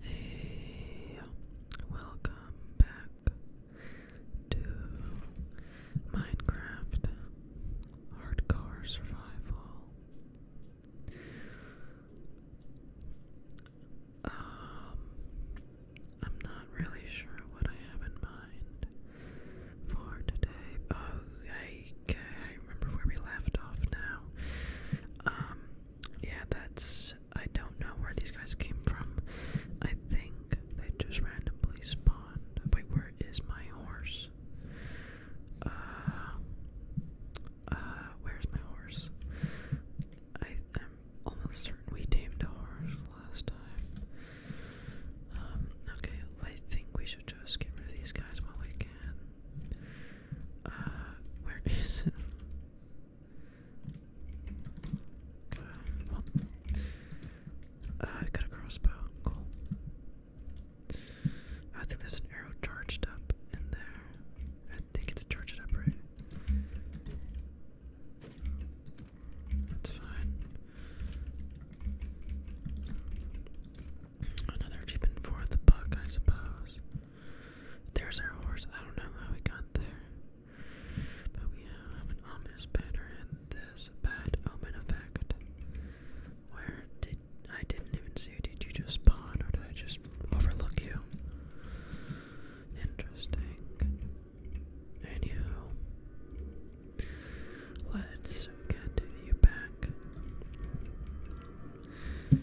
Hey, welcome back to Minecraft Hardcore Survival. Um, I'm not really sure what I have in mind for today. Oh, hey, think I remember where we left off now. Um, yeah, that's. I don't know where these guys came from. I think they just randomly spawned. Wait, where is my horse? Uh, uh, where's my horse? I am almost certain we tamed a horse last time. Um, okay, I think we should just get rid of these guys while we can where is it? Uh, I got a crossbow. Cool. I think there's an arrow charged up in there. I think it's charged up, right? That's fine. Another keeping for the buck, I suppose. There's our horse. I don't know how we got there. But we have an ominous pattern and this bad omen effect. Where did I didn't even see Did you just spawn or did I just overlook you? Interesting. Anywho, let's get you back. Okay.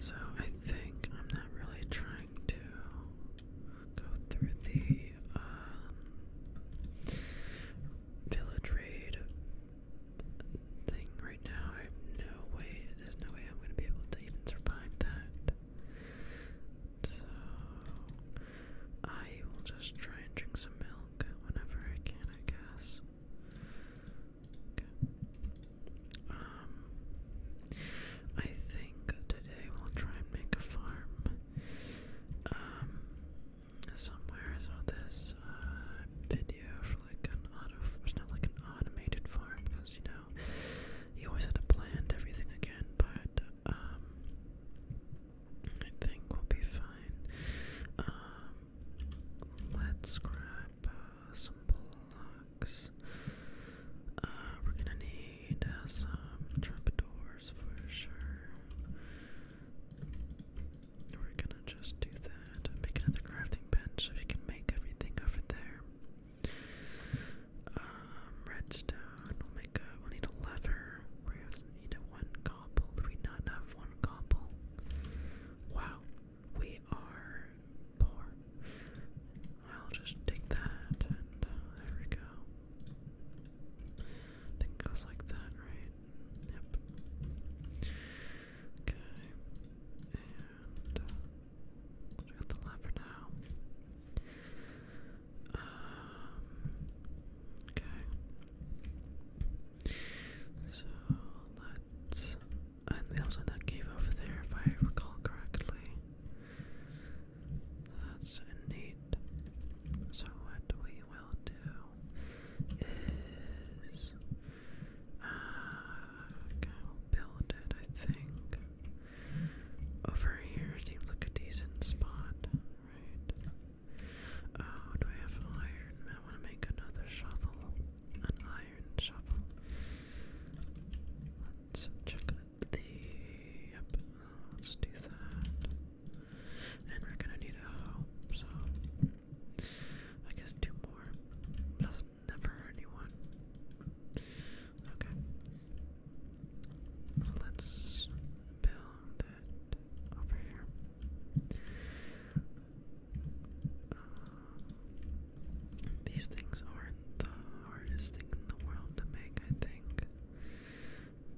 So I think I'm not really trying to go through the um, village raid thing right now. I have no way, there's no way I'm going to be able to even survive that. So I will just try and drink some milk whenever I can, I guess. Um, I think today we'll try and make a farm. Um, somewhere I saw this uh, video for like an auto, it's not like an automated farm because you know you always had to plant everything again, but um, I think we'll be fine. Um, let's grab uh, some blocks. Uh, we're gonna need uh, some trapdoors for sure. We're gonna just do that. Make another crafting bench so we can make everything over there. Um, redstone. We'll make a. We'll need a lever. We also need a one we not have one cobble? Wow, we are poor. I'll just take that, and uh, there we go. think goes like that, right? Yep. Okay, and uh, got the lever now. Um, okay. So let's. And they also that cave over there, if I recall correctly. That's neat. So what we will do is. Uh, okay, we'll build it, I think. Over here seems like a decent spot, right? Oh, do I have iron? I want to make another shovel. An iron shovel. Let's check the. Yep, let's do that. And we're gonna need a hoe, so. I guess two more. Doesn't never Okay. So let's build over here. Uh, these things are the hardest thing in the world to make, I think.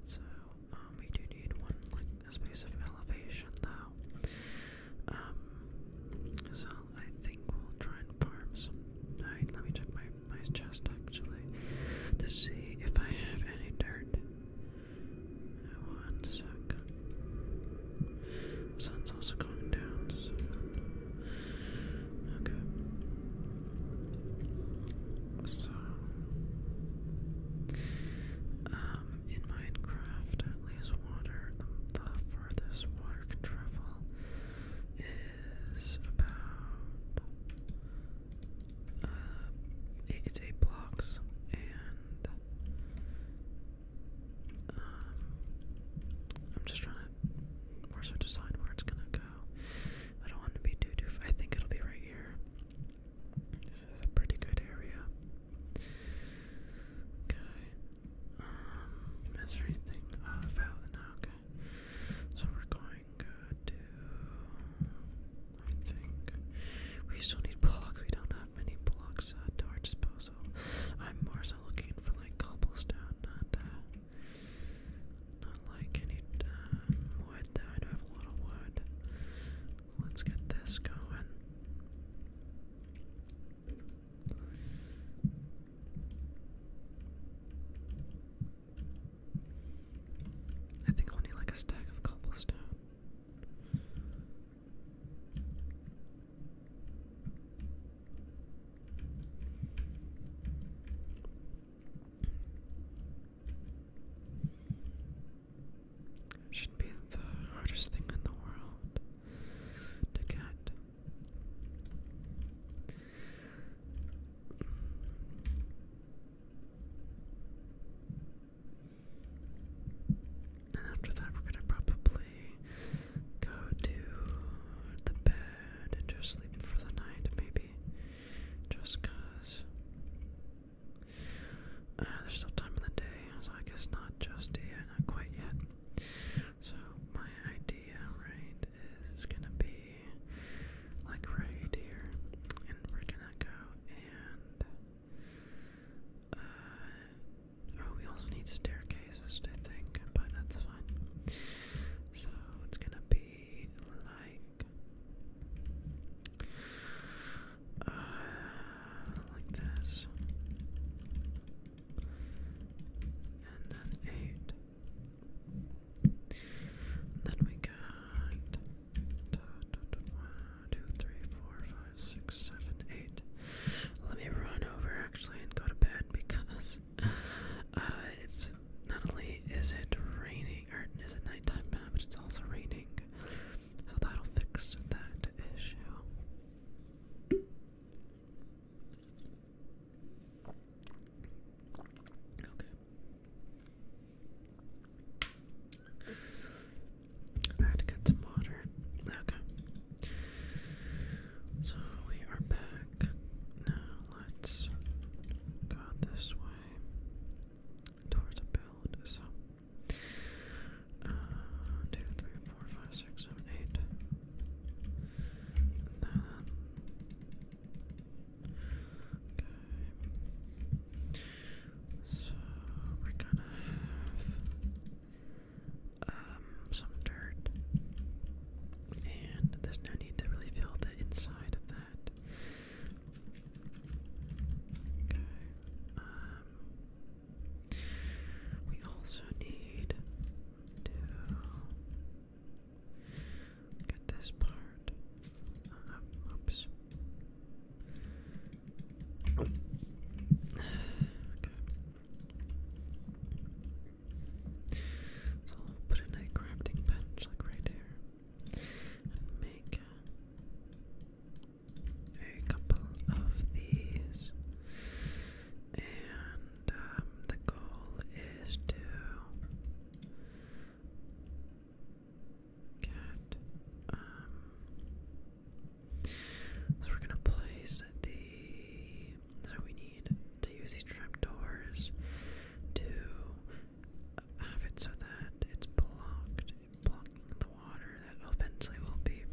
So, um, we do need one, like, a space of elevation, though. Um, so I think we'll try and farm some. let me check my, my chest, actually, to see if I have any dirt. One second. The sun's also going down soon. Okay. So um in Minecraft at least water um, the, the water can travel is about uh, it's eight blocks, and um, I'm just trying to more so decide where it's gonna go. I don't want to be too too. I think it'll be right here. This is a pretty good area. Okay. Um, is there anything uh, valid? No, okay. So we're going uh, to I think. We still need blocks. We don't have many blocks uh, our disposal. I'm more so looking for like cobblestone, not uh, not like any uh, wood. I do have a lot wood. Let's get this going. I think I'll need like a stack of cobblestone. Should be the hardest thing in the world to get. And after that, we're gonna probably go to the bed and just sleep for the night, maybe. Just cause. Uh, there's still time in the day, so I guess not just yet, not quite yet. So, my idea, right, is gonna be like right here, and we're gonna go and uh, oh, we also need staircases, I think, but that's fine. So it's gonna be like, uh, like this, and then eight. then we got one, two, three, four, five, six, seven, eight. Let me run over actually and go to bed because uh, it's not only is it raining or is it nighttime but it's also raining. So that'll fix that issue. Okay. I had to get some water. Okay. So we are back. Now let's go this way towards a build. So, uh, so we're gonna have um, some dirt. And there's no need to really fill the inside of that. Okay. Um, we also need to get this part. Uh, oops. Okay. So put a crafting bench like right here and make a couple of these. And um, the goal is to um, so we're gonna place the. So we need to use these trapdoors to have it so that it's blocked, blocking the water that eventually will be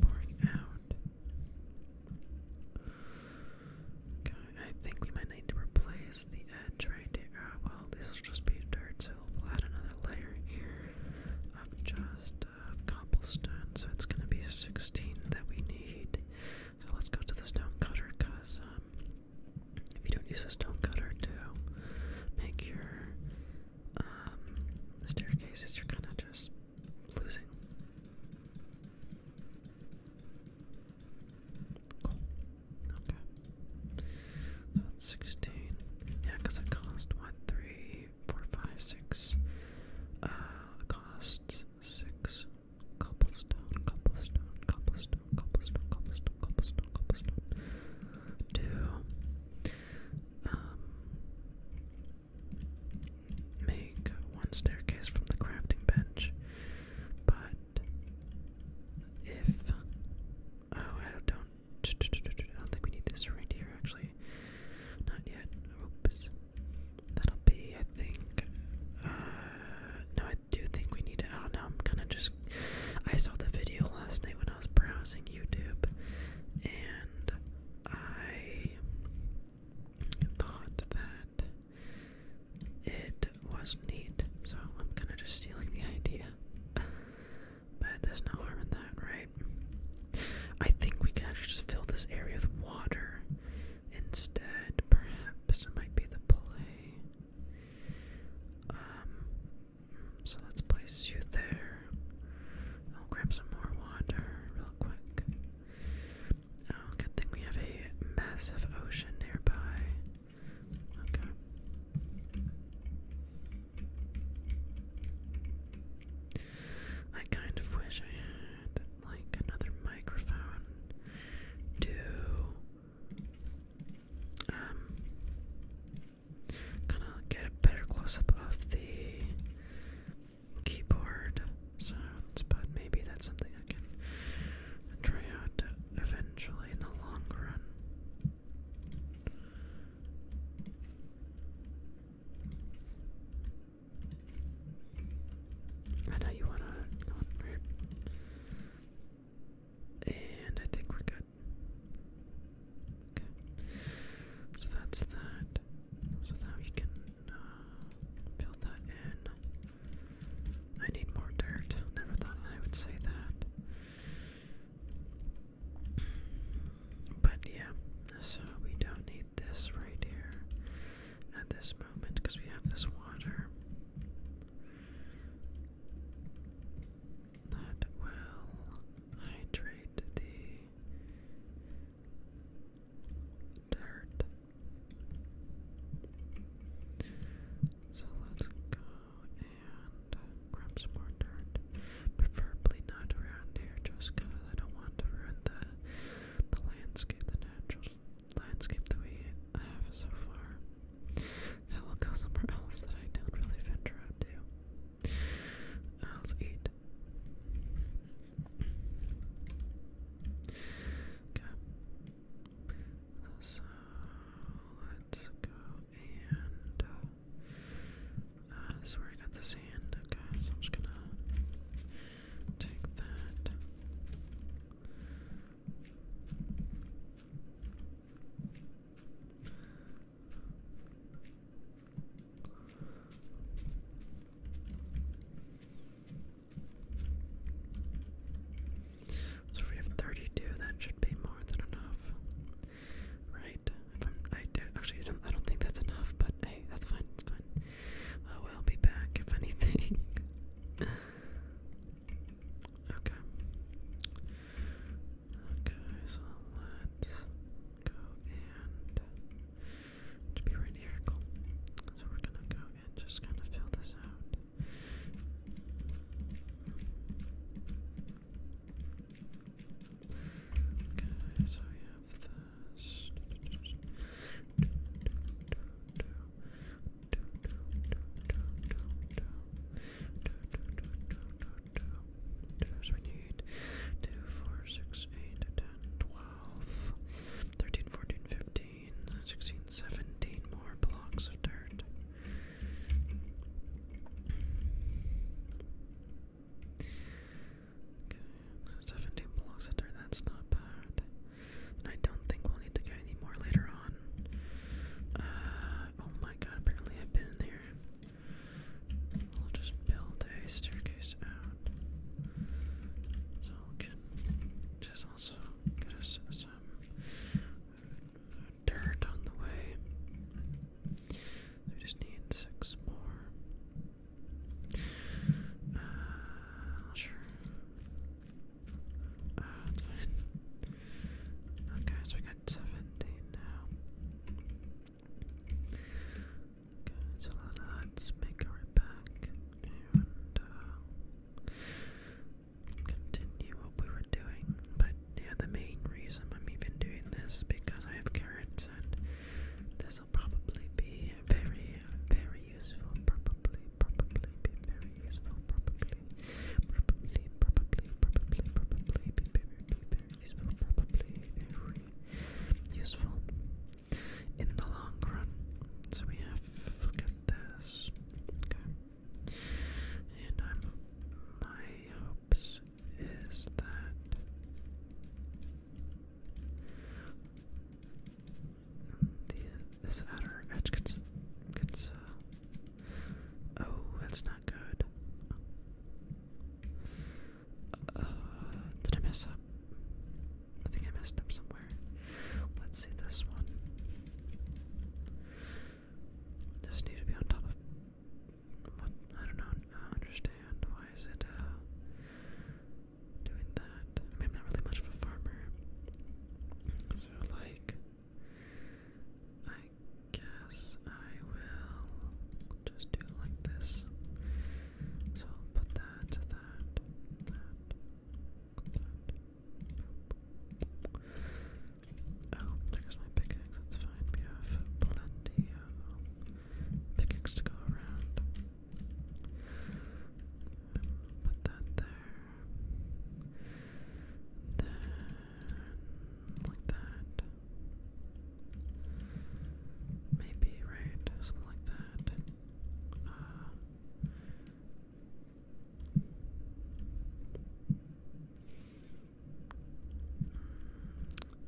pouring out. Okay, I think we might need to replace the and trying to, uh, well, this will just be dirt, so we'll add another layer here of just uh, cobblestone, so it's going to be 16 that we need. So let's go to the stone cutter, because um, if you don't use a stone cutter to make your um, staircases, you're kind of just losing. Okay. So that's 16. Yeah, because it cost 1, 3, 4, 5, 6. Uh, costs 6. Cobblestone, cobblestone, cobblestone, cobblestone, cobblestone, cobblestone, cobblestone. Two. Um. Make one staircase from the crafting bench, but if oh I don't I don't think we need this right actually. Not yet. That'll be, I think. Uh, no, I do think we need to. I do I'm kind of just. I saw the video last night when I was browsing YouTube, and I thought that it was neat. So I'm kind of just stealing the idea. But there's no harm in that, right? I think we can actually just fill this area with water instead, perhaps. It might be the play. Um, so let's place you there. I'll grab some more water real quick. Oh, good thing we have a massive ocean nearby. Okay. I kind of wish I had like another microphone to um kind of get a better close up of the keyboard sounds, but maybe that's something I can try out eventually in the long run. I know you wanna And I think we're good. Okay. So that's that. So now you can uh, that in. I need more dirt. Never thought I would say that. But yeah, so we don't need this right here at this moment because we have this water. That will hydrate the dirt. So let's and grab some more dirt. Preferably not around here just because I don't want to ruin the, the landscape, the natural landscape that we have so far. So I'll go somewhere else that I don't really venture out to. Uh, let's eat. Okay. So let's go and uh, uh, this is where I got the sand. Okay, I'm just gonna take that. So we have 32, that should be more than enough right? I'm, actually, I don't, I don't think that's enough, but hey, that's fine, it's fine. I will be back if anything. okay. Okay, so let's go and to be right here. So we're gonna go and just kind of fill this out. Okay, so have this. Do, do, do, do, do, do, do, do, do, do, do, do, do, do. So we need 2, 4, 6, 8, 10, 12, 13, 14, 15, 16, 17 more blocks of dirt. Okay, 17 blocks of that's not bad. And I don't think we'll need to get any later on. Uh, oh my god, apparently I've been in there. I'll just build a staircase out. So we can just also get us some dirt on the way. We just need six more. Uh, sure. Uh, okay, so we got seventeen now. Okay, so let's make our way back and uh, continue what we were doing, but yeah, the main reason I'm even doing this is because I have carrots and this will probably be very, very useful. Probably, probably be very useful. Probably, probably, probably, probably, probably be very, be very useful. Probably very useful in the long run. So we have, look at this. Okay. And my hopes is that this outer edge gets gets uh, oh that's not good. Uh, did I mess up? I think I messed up somewhere. Let's see this one. Just need to be on top of I don't know. I understand why is it uh, doing that? I am not really much of a farmer, so like, I guess I will just do like this. So I'll put that, that, that, that. Oh, there goes my pickaxe, that's fine. We have plenty of pickaxe to go around. Put that there. Then, like that. Maybe, right? Something like that. Uh,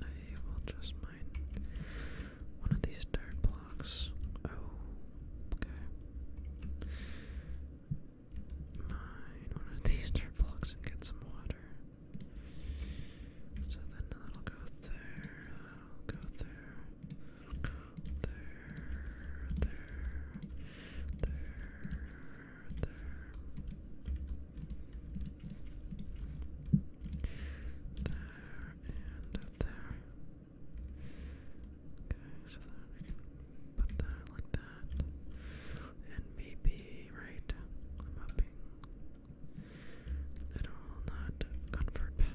I will just mine one of these dirt blocks. Oh, okay. Mine one of these dirt blocks and get some water. So then that'll go there, that'll go there, there, there, there, there and there. Okay, so then can put that like that. And right, it will not convert back.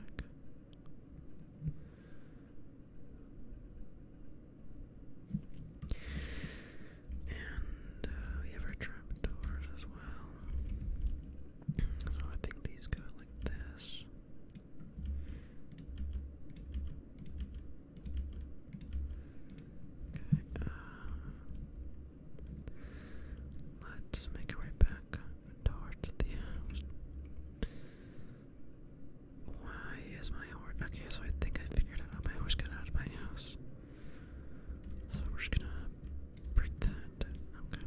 And uh, we have our trapdoors as well. So I think these go like this. Okay, uh, let's make our way back towards the house. Why is my horse? Okay, so I think I figured out how my horse got out of my house. So we're just gonna break that. Okay.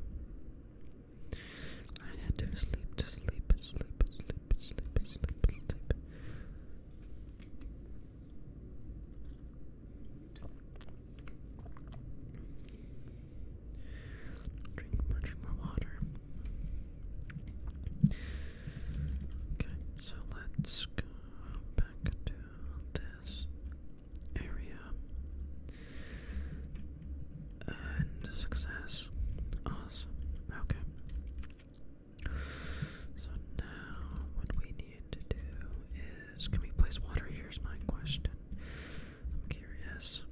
I had to sleep, to sleep, sleep, sleep, sleep, sleep, sleep. Drink more, drink more water. Okay, so let's to this area and success. Awesome. Okay. So now what we need to do is can we place water? Here's my question. I'm curious.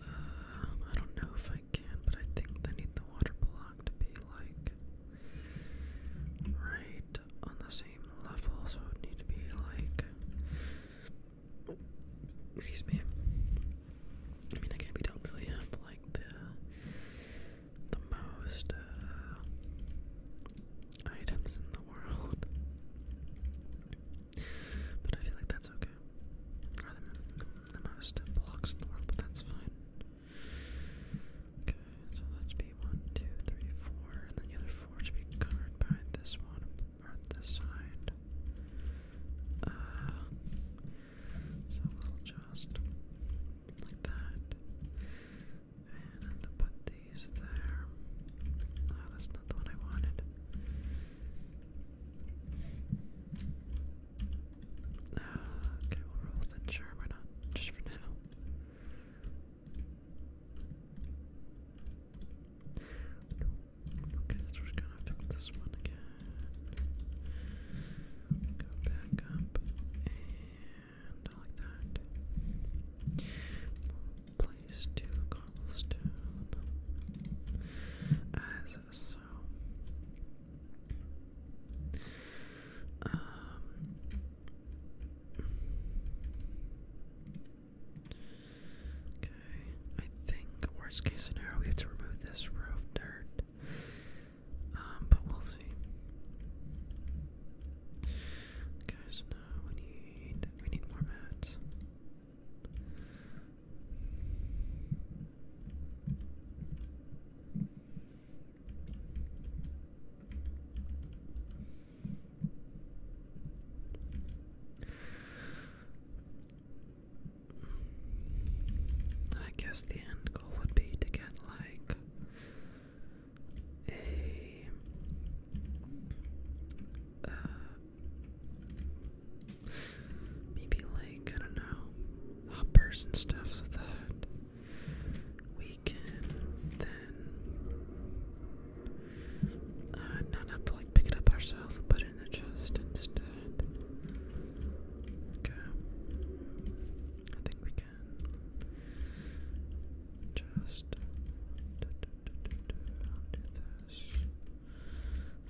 Uh, I don't know if I can, but I think I need the water block to be like right on the same level, so it need to be like. Excuse me. I mean, I can't. We do really have like the the most uh, items in the world, but I feel like that's okay the most blocks in the world, but that's fine. Okay, so that should be one, two, three, four, and then the other four should be covered by this one or this side. Uh, so we'll just like that, and put these there. Ah, that's not the one I wanted. Uh, okay, we'll roll with Sure, why not? Just for now. Okay, so we're just gonna pick this one again. Go back up and like that. Place two cobblestone as um, okay I think worst case scenario we have to remove this roof dirt um, but we'll see okay so we need we need more mats I guess the end goal would be to get like a uh, Maybe, like, I don't know, hoppers and stuff so that we can then not have to, like, pick it up ourselves and in the chest instead. Okay. I think we can just do that.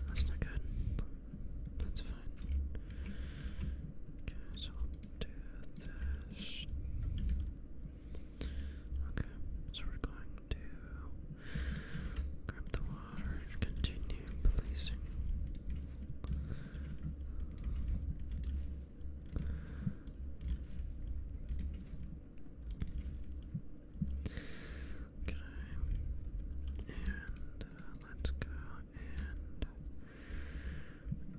That's not good. That's fine. so do this. Okay, so we're going to grab the water and continue policing. Okay. And uh, let's go and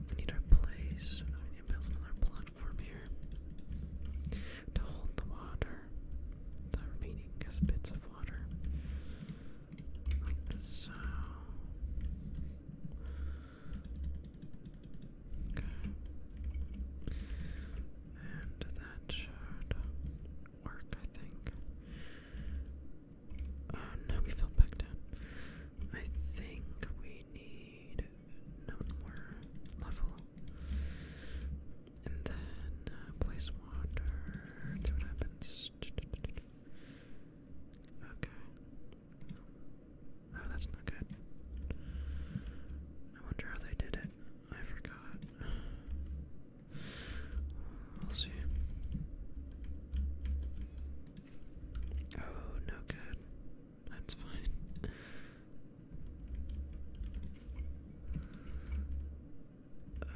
we need our place. We need to build another platform here to hold the water, the remaining bits of water, like so. Okay. And that should work, I think. Oh, no, we fell back down. I think we need one more level. And then uh, place water. what happens. Okay. Oh, that's not good. I wonder how they did it. I forgot. I'll see. Oh, no good. That's fine. Uh,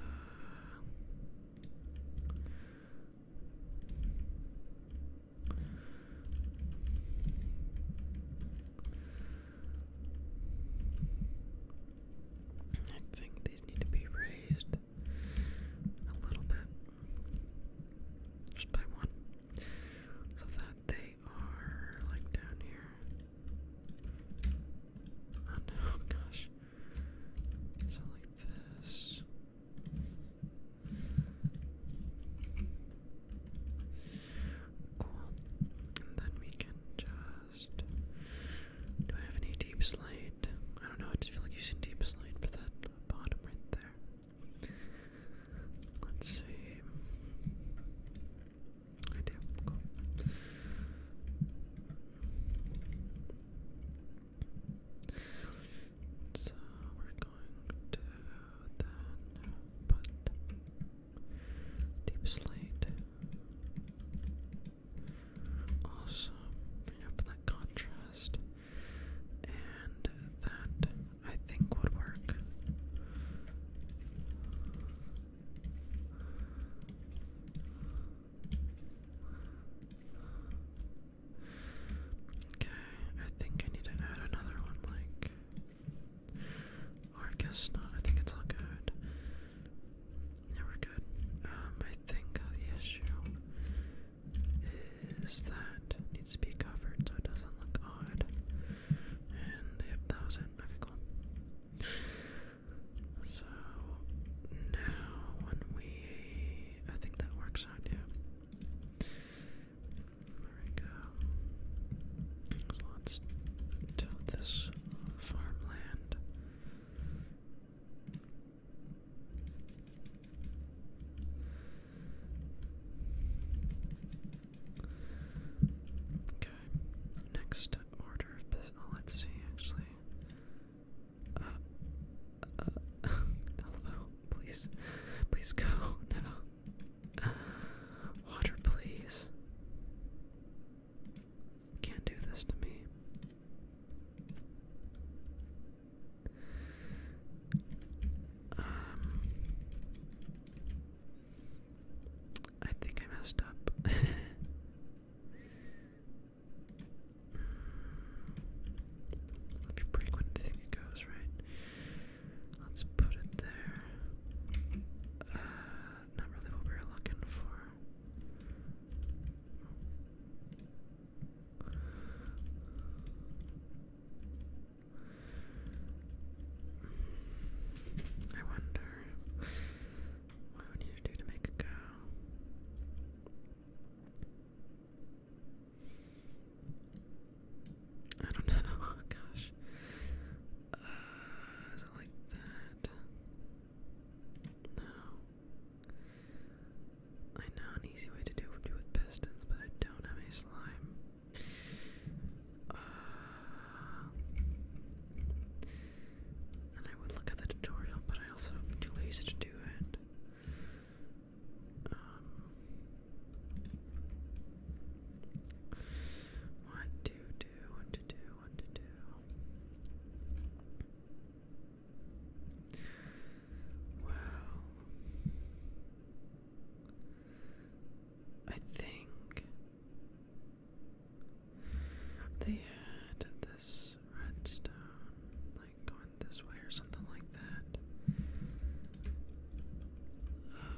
I think these need to be raised a little bit, just by one, so that they are like down here. Oh gosh. So like this. Cool. And then we can do I have any deep slate? I don't know, I just feel like using deep slate for that bottom right there. Let's see. I do, So we're going to then put deep slate awesome you that contrast. And that I think would work. Okay, I think I need to add another one like or I guess not, I think it's all good. Yeah, we're good. Um, I think uh, the issue is that needs to be covered so it doesn't look odd. And yep, that was it. Okay, cool. So now when we I think that works out, yeah. There we go. So let this farmland Okay, next order of business. Oh, let's see, actually. Uh, uh please, please go now. water, please. Can't do this to me. Um, I think I messed up. Hmm. If you break one, it goes right. Let's put it there. Uh, not what we were looking for. I wonder what do we do to make it go? I don't know. Oh, gosh. Uh, like that? No. I know an easy way to do do with pistons, but I don't have any slime. Uh, and I would look at the tutorial, but I also too lazy to do it. Um, to do, what to do, what to do. Well, I think they had this redstone like going this way or something like that. Um,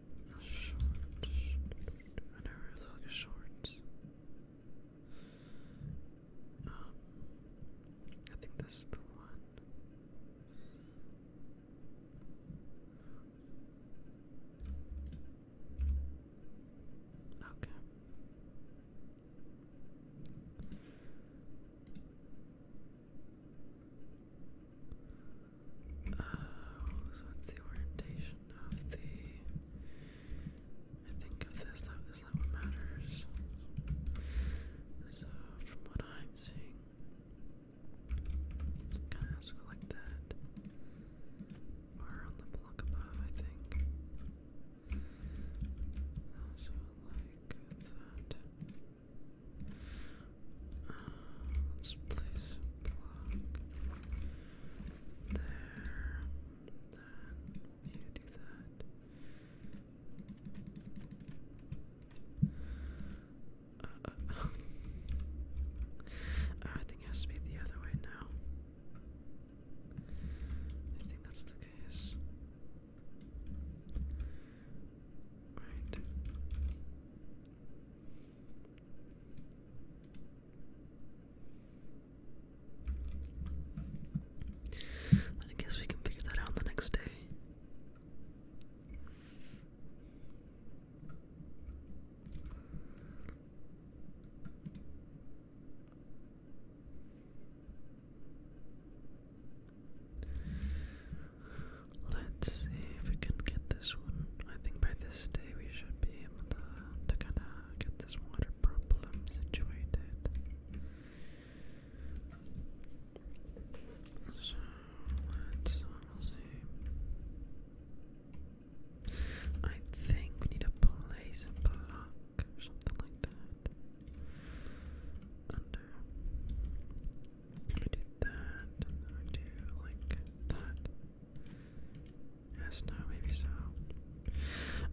Short. I never really a short. Um, I think this is the one. Okay. Uh, so it's the orientation of the. I think of this, that is that what matters. So from what I'm seeing, kind of has like that, or on the block above, I think. so like that let's place a block there. Then you do that. Uh, uh, uh, I think it has to be the other way now. I think that's the case. Right. I guess we can figure that out the next day. Let's see if we can get this one. I think by this day we should be able to, to kind of get this water problem situated. So let's see. I think we need to place block or something like that. Under I do that, I do like that. Yes, no, maybe so.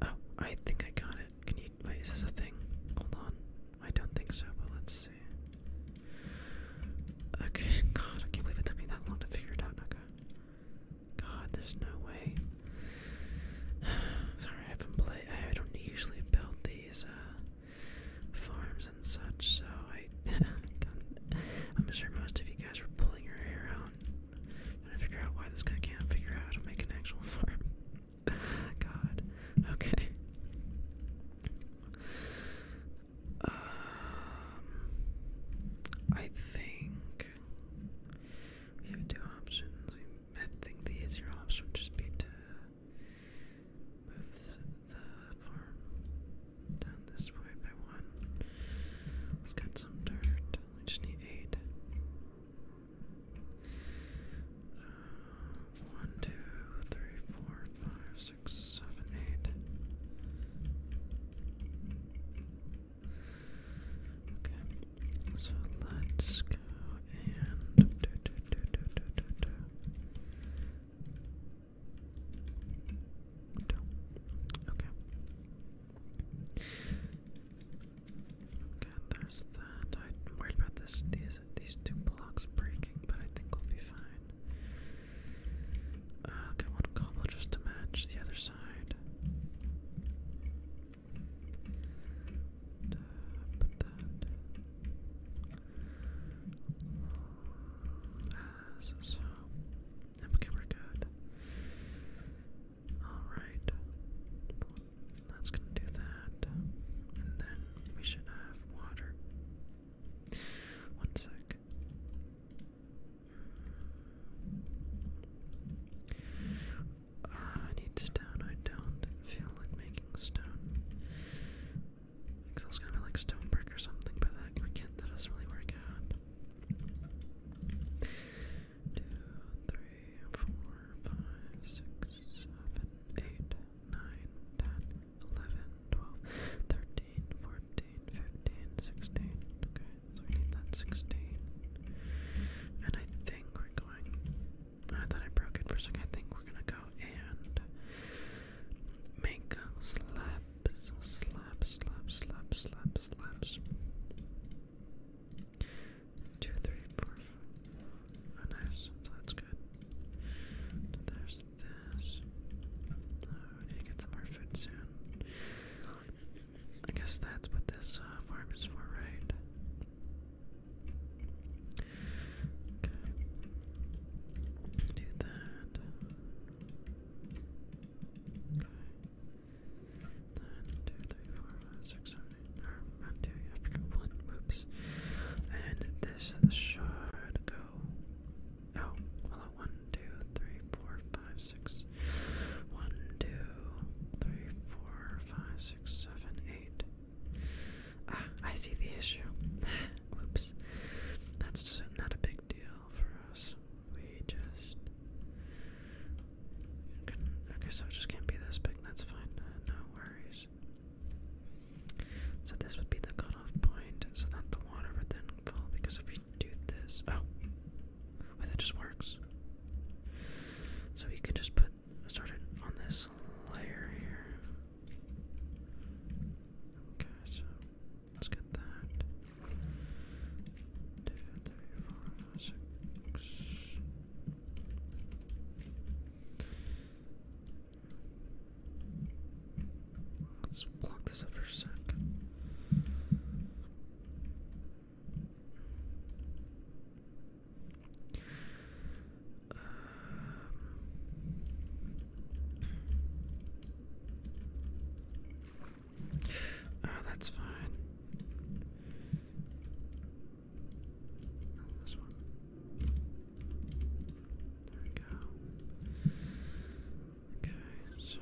Oh, I think I got it. Can you wait? Is this a thing? Hold on. I don't think so, but let's see. Okay, God, I can't believe it took me that long to figure it out, Naka. God, there's no way. Sorry, I haven't played. I don't usually build these uh, farms and such. So I, I'm sure most of you guys were pulling your hair out trying to figure out why this guy can't figure out how to make an actual farm. God. Okay. Um, I think we have two options. I think the easier option would just be to move the farm down this way by one. Let's get some dirt. We just need eight. one, two, three, four, five, six, seven, eight. Okay, so let's go and do, do, do, do, do, do, do. Okay. Okay, there's that. I'm worried about these these two blocks breaking, but I think we'll be fine. Uh, okay, one cobble just to match the other side. put that okay, we're good. Alright. That's gonna do that. And then we should have water. One sec. Uh, I need stone. I don't feel like making stone. Excel's gonna be like stone brick or something, but that we can't that doesn't really work out. Two, three, four, five, six, seven, eight, nine, ten, eleven, twelve, thirteen, fourteen, fifteen, sixteen. Okay, so we need that sixteen. And I think we're going I thought I broke it for a second. I think we're gonna go and make slap so slap, slap, slap, slap, slaps. Two, three, four, five. Oh, nice. So that's good. There's this. Oh, we need to get some more food soon. I guess that's what this uh, farm is for, right? Do that. Then two, three, four, five, six, seven, eight. I And this should go. Oh, two, three, four, five, six, seven, eight. Ah, I see the issue. Whoops times. That's not a big deal for us. We just. Okay, so it just can't be this big. That's fine. Uh, no worries. So this would be the cutoff point, so that the water would then fall. Because if we do this, oh, wait, that just works. So we could just put start it on this layer here. Okay, so Let's get that. Two, three, four, five, six. Let's block this up for a sec. Um, Oh, that's fine. This one. There we go. Okay, so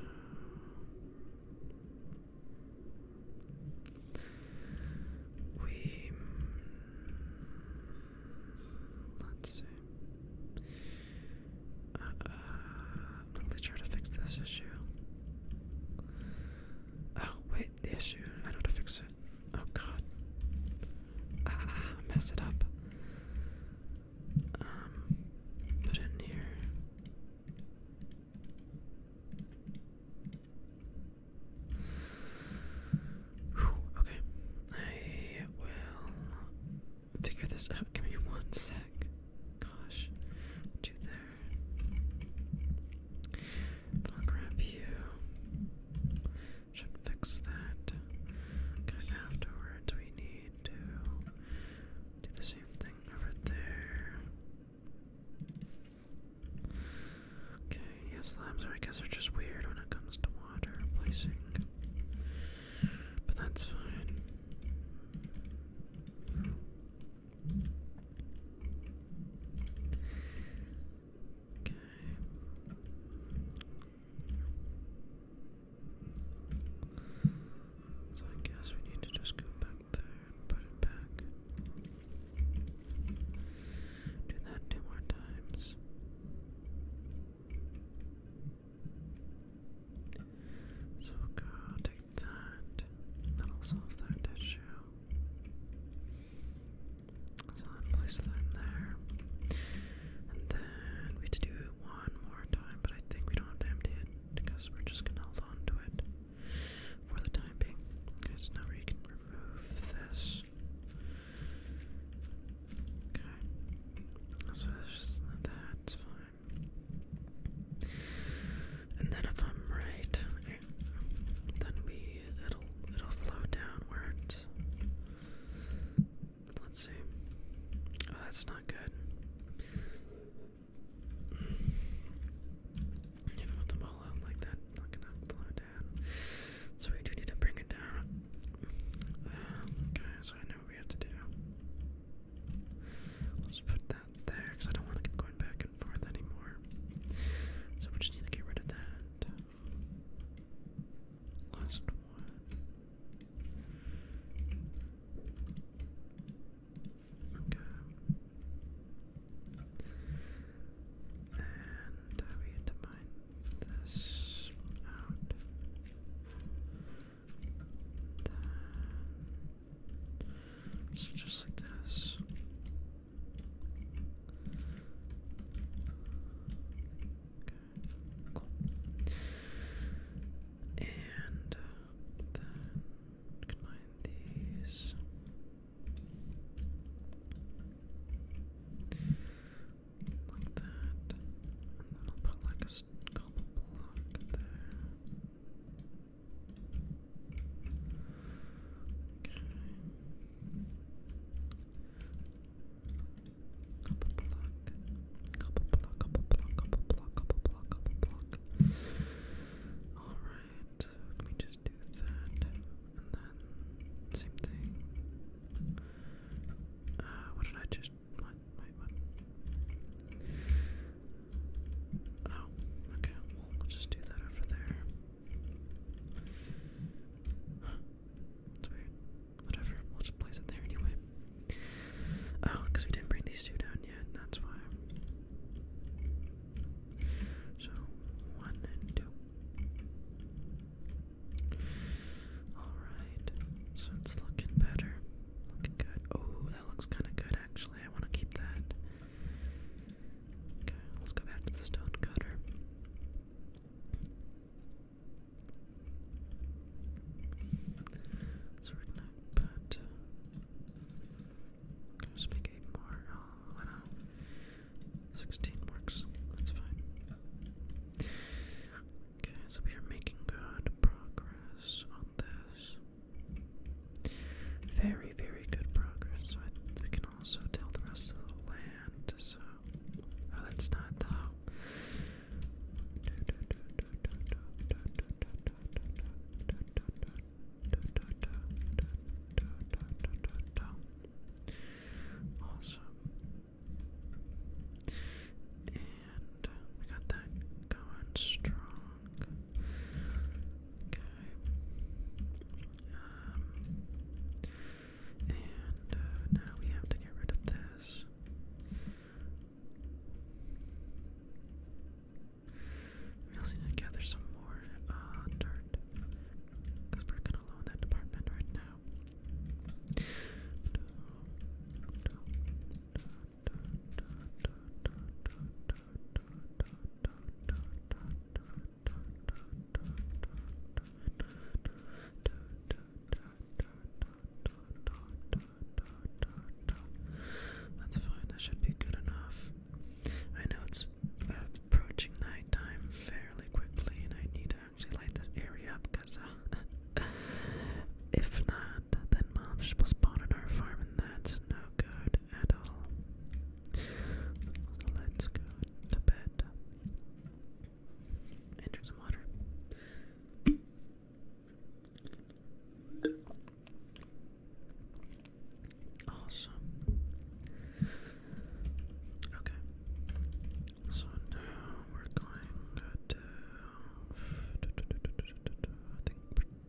we mm, Let's see. Uh, uh, i to fix this issue. Oh, wait, the issue. I know to fix it. Oh, God. Ah, mess it up. Um, put in here. okay. I will figure this out. Give me one sec. Gosh, do there. I'll Should fix that. Okay, afterwards we need to do the same thing over there. Okay, yeah, slabs I guess, are just weird when it comes to water placing. But that's fine. Okay. So I guess we need to just go back there and put it back. Do that two more times. So will go take that. That'll solve that issue. So place that in there. And then we have to do it one more time, but I think we don't have to empty it because we're just gonna hold on it for the time being. Because now we can remove this. Okay. So that's, that's fine. And then if I'm right, then we it'll it'll flow downwards. Let's see. Oh, that's not good. Even with the ball out like that, not gonna flow down. So we do need to bring it down. Um, okay, so I what we have to do. Let's put that there, because I don't want to keep going back and forth anymore. So we just need to get rid of that. Last one. Okay. And we had mine this out. Then, so just like this. Okay, cool. And uh, then combine these like that, then I'll put like a couple block there. Okay. Couple block, couple block, couple block, couple block, couple block, couple block. All right, let me just do that, and then same thing. Uh, what did I just Oh, okay. we'll just do that over there. It's weird. Whatever. We'll just place it there anyway. Oh, because we didn't bring these two down yet. That's why. So one and two. Alright, so it's looking better. Looking good. Oh, that looks kind of good actually. I want to keep that. Okay, let's go back to the stone cutter. So we're just make more. Oh, I know. 16 works. That's fine. Okay, so we are making good progress on this. Very, very good progress. So I, we can also tell the rest of the land. So, oh, that's not how. Awesome. And we got that going strong. Okay. Um, and uh, now we have to get rid of this. We also need to gather some more uh, dirt because we're kind of low that department right now. That's fine, that should be good enough. I know it's approaching nighttime fairly quickly, and I need actually light this area up because uh, if not, then monsters will spawn on our farm and that's no good at all. So let's go to bed and drink some water. Awesome. Okay. So now we're going to. I think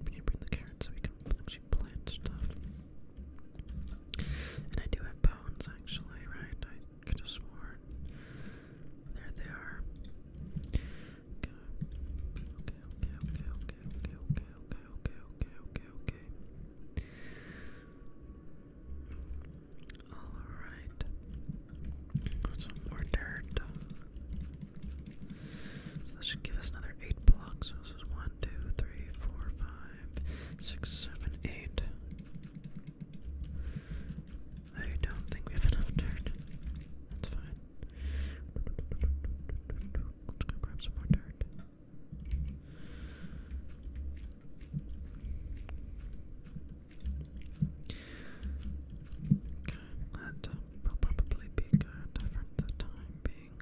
we need bring the carrots so we can actually plant stuff. And I do have bones actually, right? I could have There they are. Okay, okay, okay, okay, okay, okay, okay, okay, okay, okay, okay. Alright. Some more dirt. that should give us another 8 blocks. this is 1, I don't think we have enough dirt. That's fine. Let's go grab some more dirt that will probably be good for the time being.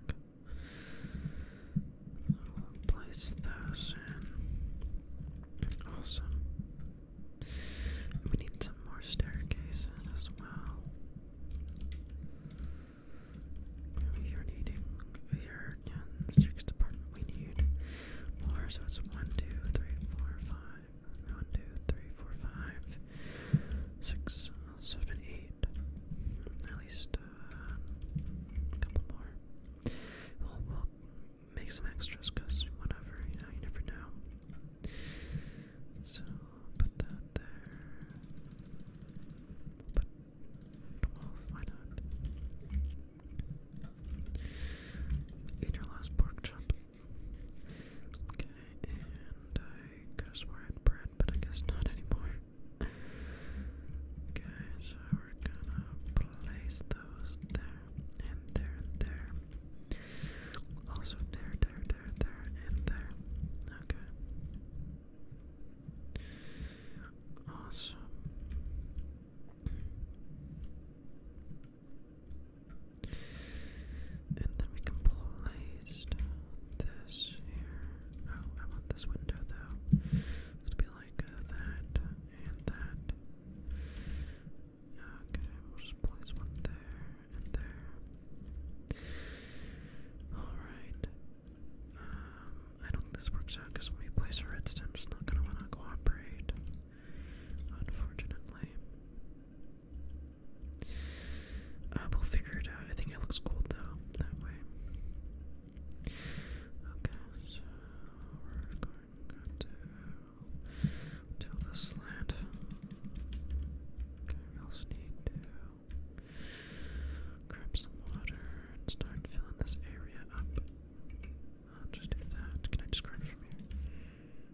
We'll place those in. Awesome. We need some more staircases as well. We are needing here in the sixth department. We need more, so it's one, two, three, four, five five. One, two, three, four, five, six, seven, eight. At least a couple more. We'll, make some extras because whatever, you know, you never know. So put that there. We'll put 12, Eat your last pork chop. Okay, and I could have sworn I bread, but I guess not anymore. okay, so we're gonna place those there, and there, there. Also there, there, there, there, and there. Okay. Awesome. And then we can place this here. Oh, I want this window though. It's to be like uh, that and that. Okay, we'll just place one there and there. Alright. Um, I don't think this works out because when we place a redstone, it's not going to want to cooperate unfortunately. Uh, will figure it out. I think it looks cool though, that way. Okay, so we're going to till the slant. we also need to grab some water and start filling this area up. I'll just do that. Can I just it from here?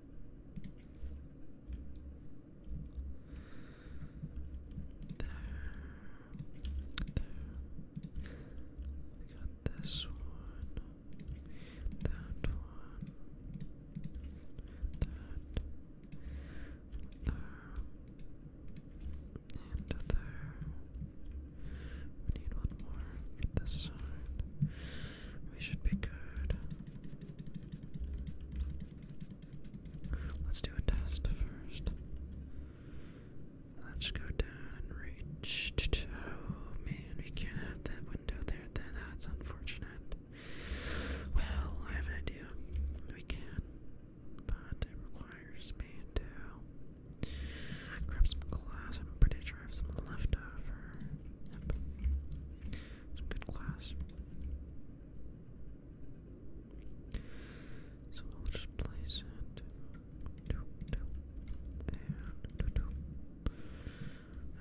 There. There. We got this one. That one. That. There. And there. We need one more this side. We should be good. Let's do a test first. Let's go down and reach. Oh man, we can't have that window there. that's unfortunate. Well, I have an idea. We can, but it requires me to grab some glass. I'm pretty sure I have some left it's a good class. So I'll just place it. And okay,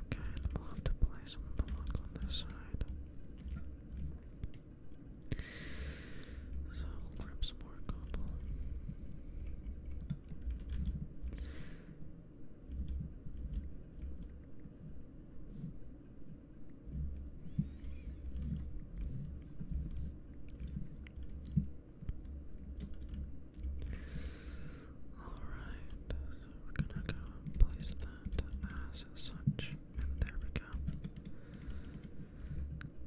then we'll have to place some block on this side. So we'll grab some more cobble. Alright, so we're gonna go place that as such, and there we go.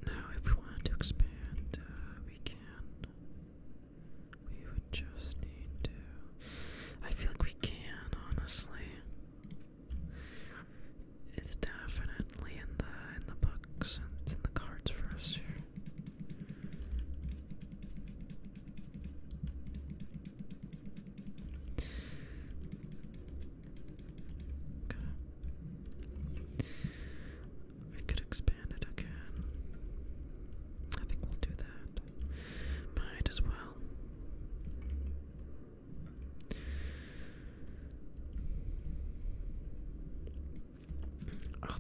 Now, if we wanted to expand, uh, we can. We just need to. I feel like we can, honestly. It's definitely in the in the books and it's in the cards for us here. Okay. I could expand it again. I think we'll do that. Might as well. I'll,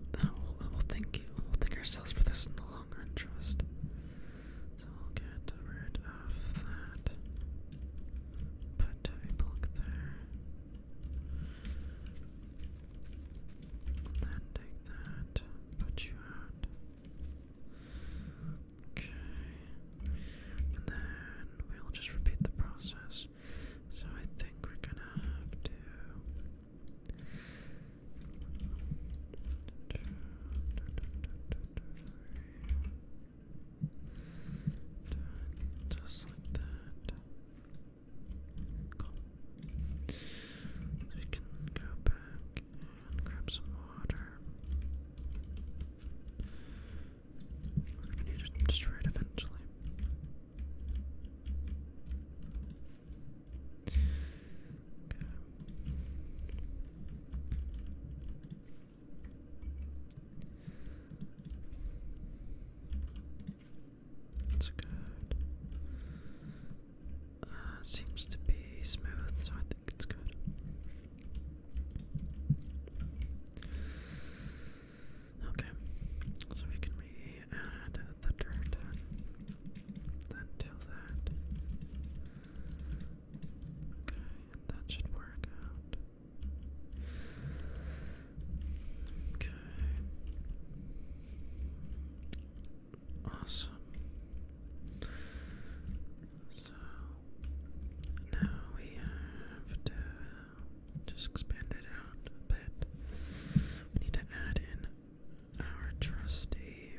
thank you. We'll thank ourselves for this in the long run, trust. So I'll get rid of that. Put a block there. then take that. Put you out. Okay. And then we'll just repeat the process. So I think we're gonna have to. Two, two, two, two, just like that. we can go back and grab some water. We're gonna need to destroy it eventually. That's good. Uh, seems to be smooth, so I think it's good. Okay, so we can re-add the dirt until that. Okay, that should work out. Okay. Awesome. So now we have to just expand it out a bit. We need to add in our trusty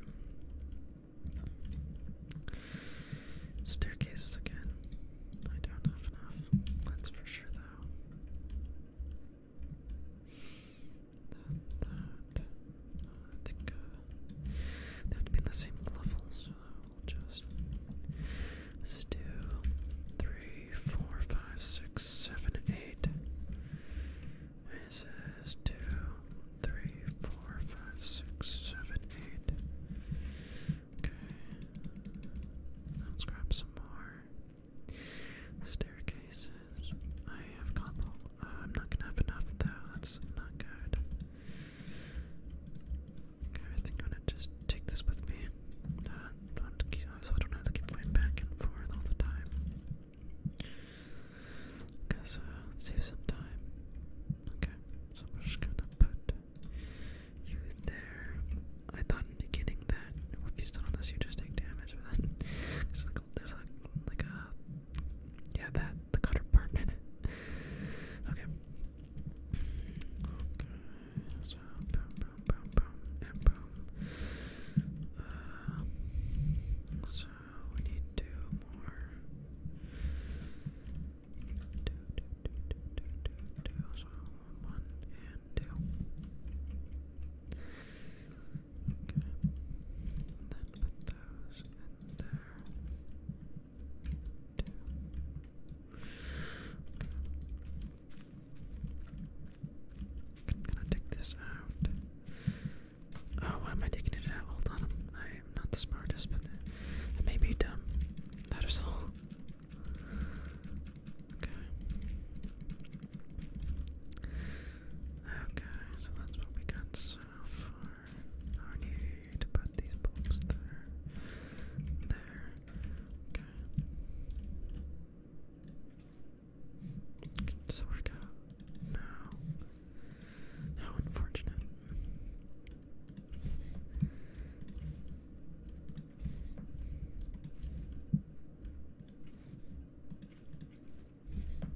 staircases again. I don't have enough. That's for sure, though. I think they have be the same level, just let's do three, four, five, six, seven, eight. This is two, three, four, five, six, seven, eight. Okay. Let's grab some more staircases. I have combo. Uh, I'm not gonna have enough though, that's not good. Okay, I think I'm gonna just take this with me. so uh, I don't have to keep going back and forth all the time. Because save some time. Okay, so we're just gonna put you there. I thought in the beginning that if you stood on this, you just take damage, but there's like, like a uh, yeah that the cutter part. okay. Okay. So boom, boom, boom, boom, and boom. so we need two more. Two, two, two, two, two, two, two. So one and two. Okay. Then take this out. Oh, am I taking it out? Hold on, I'm not the smartest, but I may be dumb. That is all. Okay. Okay, so that's what we got so far. I need to put these blocks there. There. Okay. Can out? No. How unfortunate. Okay.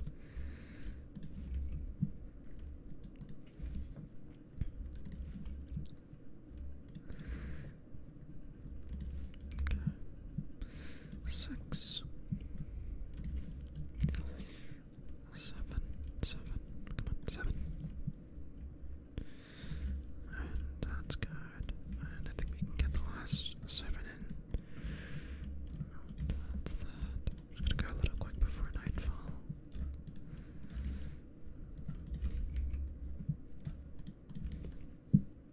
Six. Seven. Seven. Come on, seven. that's good. I think we can get the last seven in. Oh, that's that just gonna go a little quick before nightfall.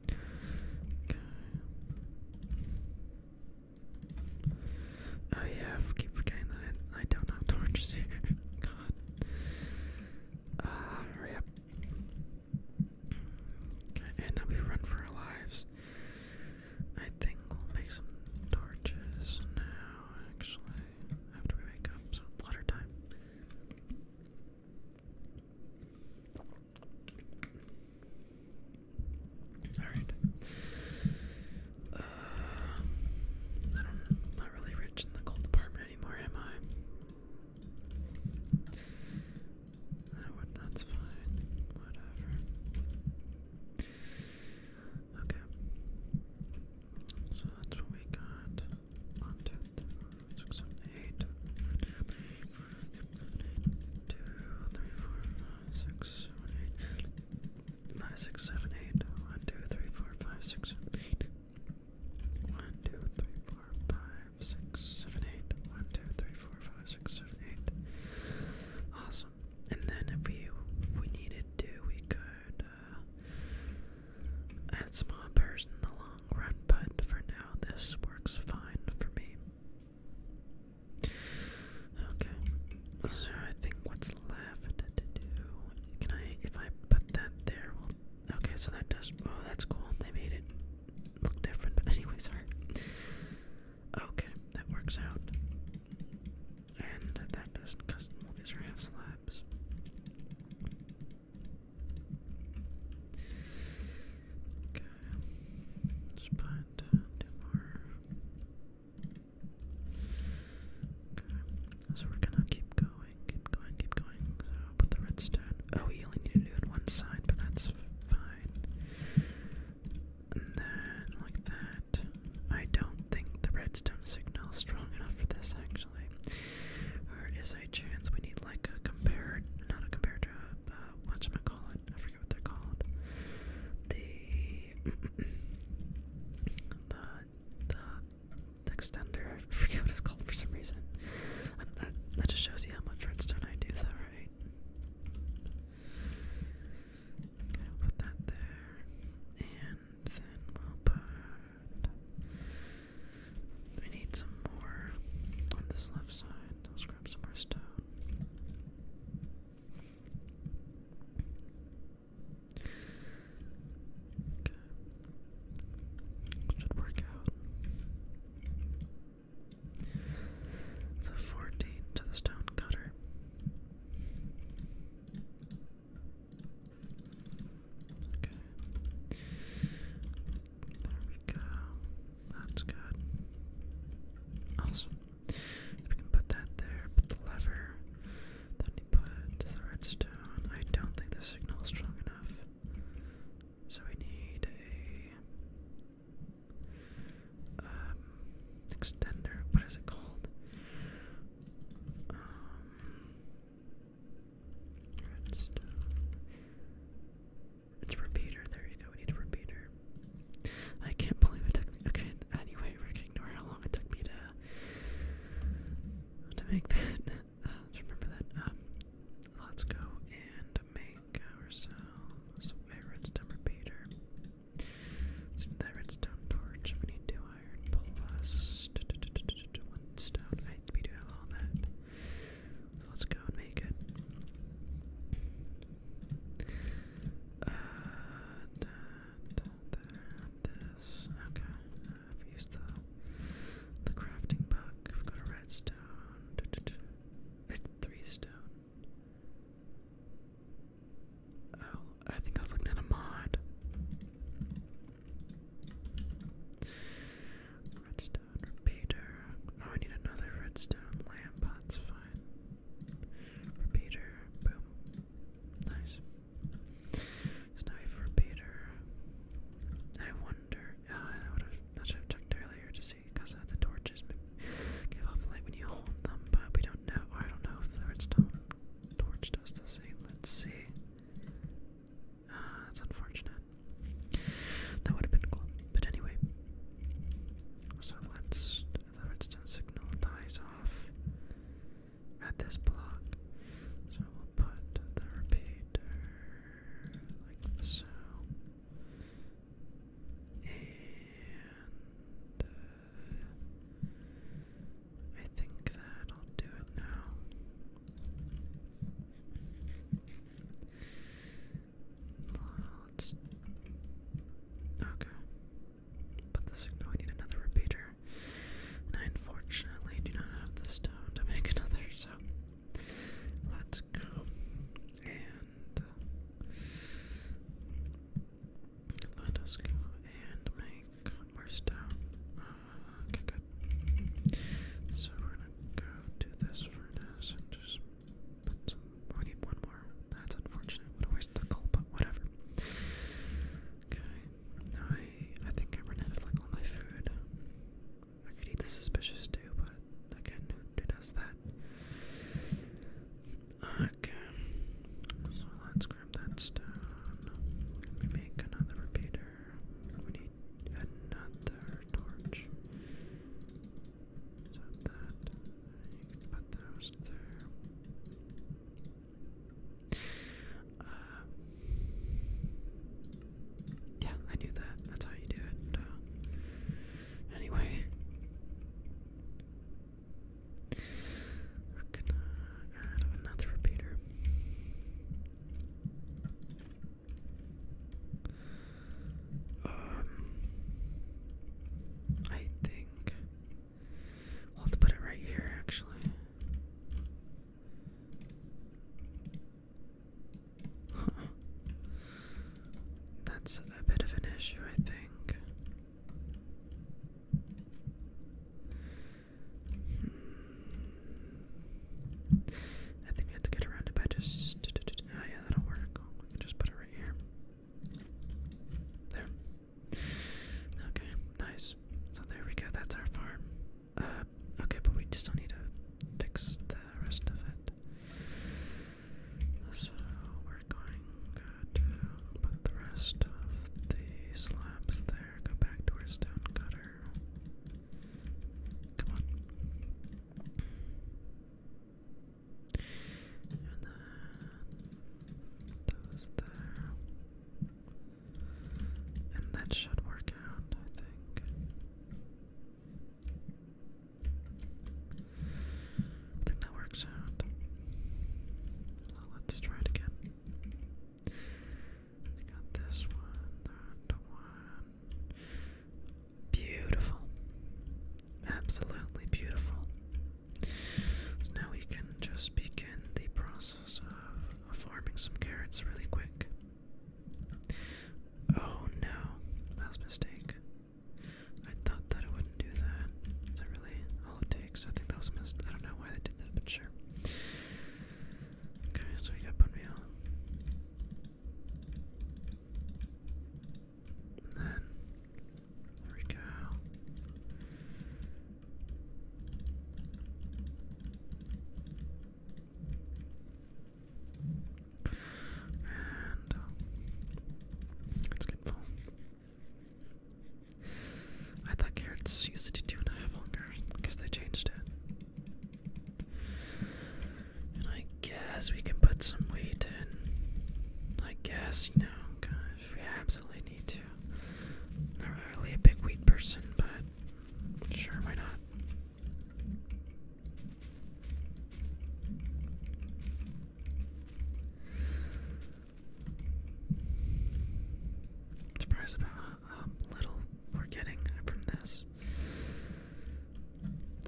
Okay. Oh yeah, keep forgetting that I, don't have torches here. God. Ah, hurry up. Okay, and now we run for our lives. I think we'll make some torches now, actually, after we wake up. So, water time. Alright. Uh, I am not really rich in the gold department anymore, am I? that's fine. Whatever. Okay. So that's what we got. One, two, three, four, six, seven, eight. Two, three, four, five, six, seven, eight. Five, six, seven, eight. One, two, three, four, five, six, seven, eight. One, two, three, four, five, six, seven, eight. One, two, three, four, five, six, seven, eight. Awesome. And then if we we needed to, we could uh, add some hoppers in the long run, but for now this works fine for me. Okay, so I think what's left to do, can I, if I put that there, okay, so that does, oh, that's cool, they made it look different, but anyway, sorry. Okay, that works out. And that doesn't cost. Well, these are half slabs. Okay, let's put two more. Okay, so we're gonna keep going, keep going, keep going. So put the redstone. Oh, we only need to do it one side, but that's fine then like that. I don't think the redstone signal is strong enough for this actually. Or is a chance we need like a compared not a comparator, uh whatchamacallit, I forget what they're called. The the the extender, I forget what it's called for some reason. Um, that that just shows you how much redstone I do though, right? Put that there. And then we'll put. We need some more on this left side. Let's grab some more stone. Okay. Should work out. So 14 to the stone cutter. There we go. That's good. Awesome. we can put that there, put the lever. Then we put the redstone. I don't think the signal is strong enough. So we need a um, extender. What is it called? Um, it's repeater. There you go. We need a repeater. I can't believe it took me. Okay. Anyway, we're gonna ignore how long it took me to to make that. Uh, just remember that. Um, let's go and make ourselves a repeater. So redstone torch, we need two iron plus one stone. I, we do have all that. let's go and make it. Uh, okay. Uh, I've used the, the crafting book. We've got a redstone. It's three stone. Oh, I think I was looking at a mod. Redstone repeater. Oh, I need another redstone lamp. That's fine. Repeater. Boom. Nice. Snipe repeater. I wonder. Uh, I should have checked earlier to see because uh, the torches give off light when you hold them, but we don't do I don't know if the redstone torch does the same. Let's see. Uh, that's unfortunate. That would have been cool. But anyway. So let's. The redstone signal dies off at this block. So we'll put the repeater like so. And. I think that I'll do it now. Let's. Okay. But the signal, we need another repeater. And I unfortunately do not have the stone to make another, so let's go. And let us go and make more stuff. Uh, okay, good. So we're gonna go to this furnace and just put we need one more. That's unfortunate. What a waste but whatever. Okay. I, I think I ran out of like my food. I could eat the suspicious too, but again, who does that? Okay. So let's grab that stone. We make another repeater. We need another torch. So that put those there. Uh, yeah, I knew that. That's how you do it. anyway. We're gonna add another repeater. Um, I think we'll have to put it right here, actually. That's a bit of an issue, I think. Hmm. I think we have to get around it by just. Oh, yeah, that'll work. just put it right here. There. Okay, nice. So there we go. That's our farm. Uh, okay, but we still need to fix the rest of it. So we're going to put the rest of the slabs there, go back to our stone cutter. Come on. And then those there. And that should work out, I think. I think that works out. let's try it again. got this one, that one. Beautiful. Absolutely beautiful. now we can just begin the process of farming some carrots really quick. Oh no, last mistake. I thought that it wouldn't do that. Is that really all it takes? I think that was missed. I don't know why they did that, but sure. Okay, so we got bone meal. And then, there we go. And um, it's getting I thought carrots used to do I have hunger because they changed it. And I guess we can put some wheat in. I guess, you know, gosh, we absolutely need to. I'm not really a big wheat person, but sure, why not? Surprised about how little we're getting from this.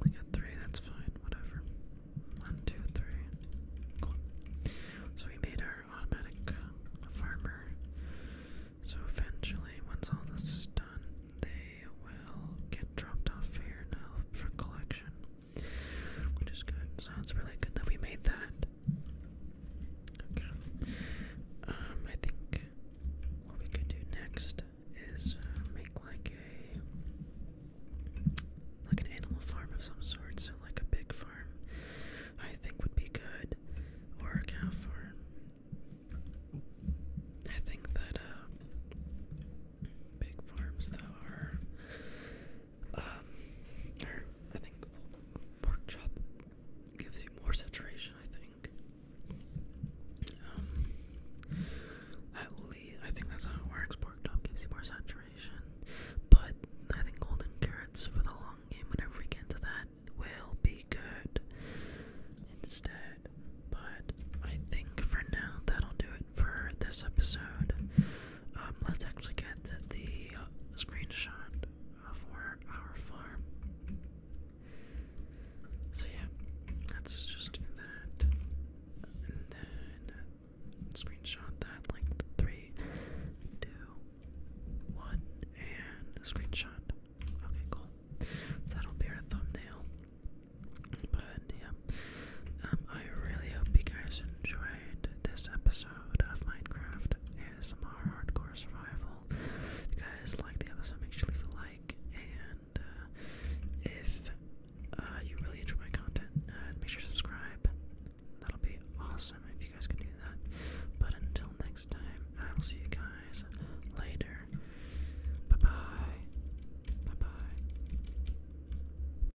I got three, that's fine, whatever. One, two, three. So we made our automatic uh, farmer. So eventually, once all this is done, they will get dropped off here now for collection which is good. So really good that we made that. Okay. Um, I think what we could do next is uh, make like a like an animal farm of some sort. like a pig farm, I think would be good, or a cow farm. I think that uh, big farms though are um, or I think pork chop gives you more saturation. I think. Um, at least I think that's how it works. Pork chop gives you more saturation, but I think golden carrots for the long game, whenever we get to that, will be good instead. But I think for now that'll do it for this episode. Um, let's actually get the uh, screenshot for our farm. So yeah, let's just do that, and then uh, screenshot that like three, two, one, and screenshot. Okay, cool. So that'll be our thumbnail. But yeah, um, I really hope you guys enjoyed this episode of Minecraft ASMR Hardcore Survival. If you guys like the episode, make sure leave a like. And uh, if uh, you really enjoy my content, uh, make sure subscribe. That'll be awesome if you guys can do that. But until next time, I will see you guys later. Bye bye. Bye bye.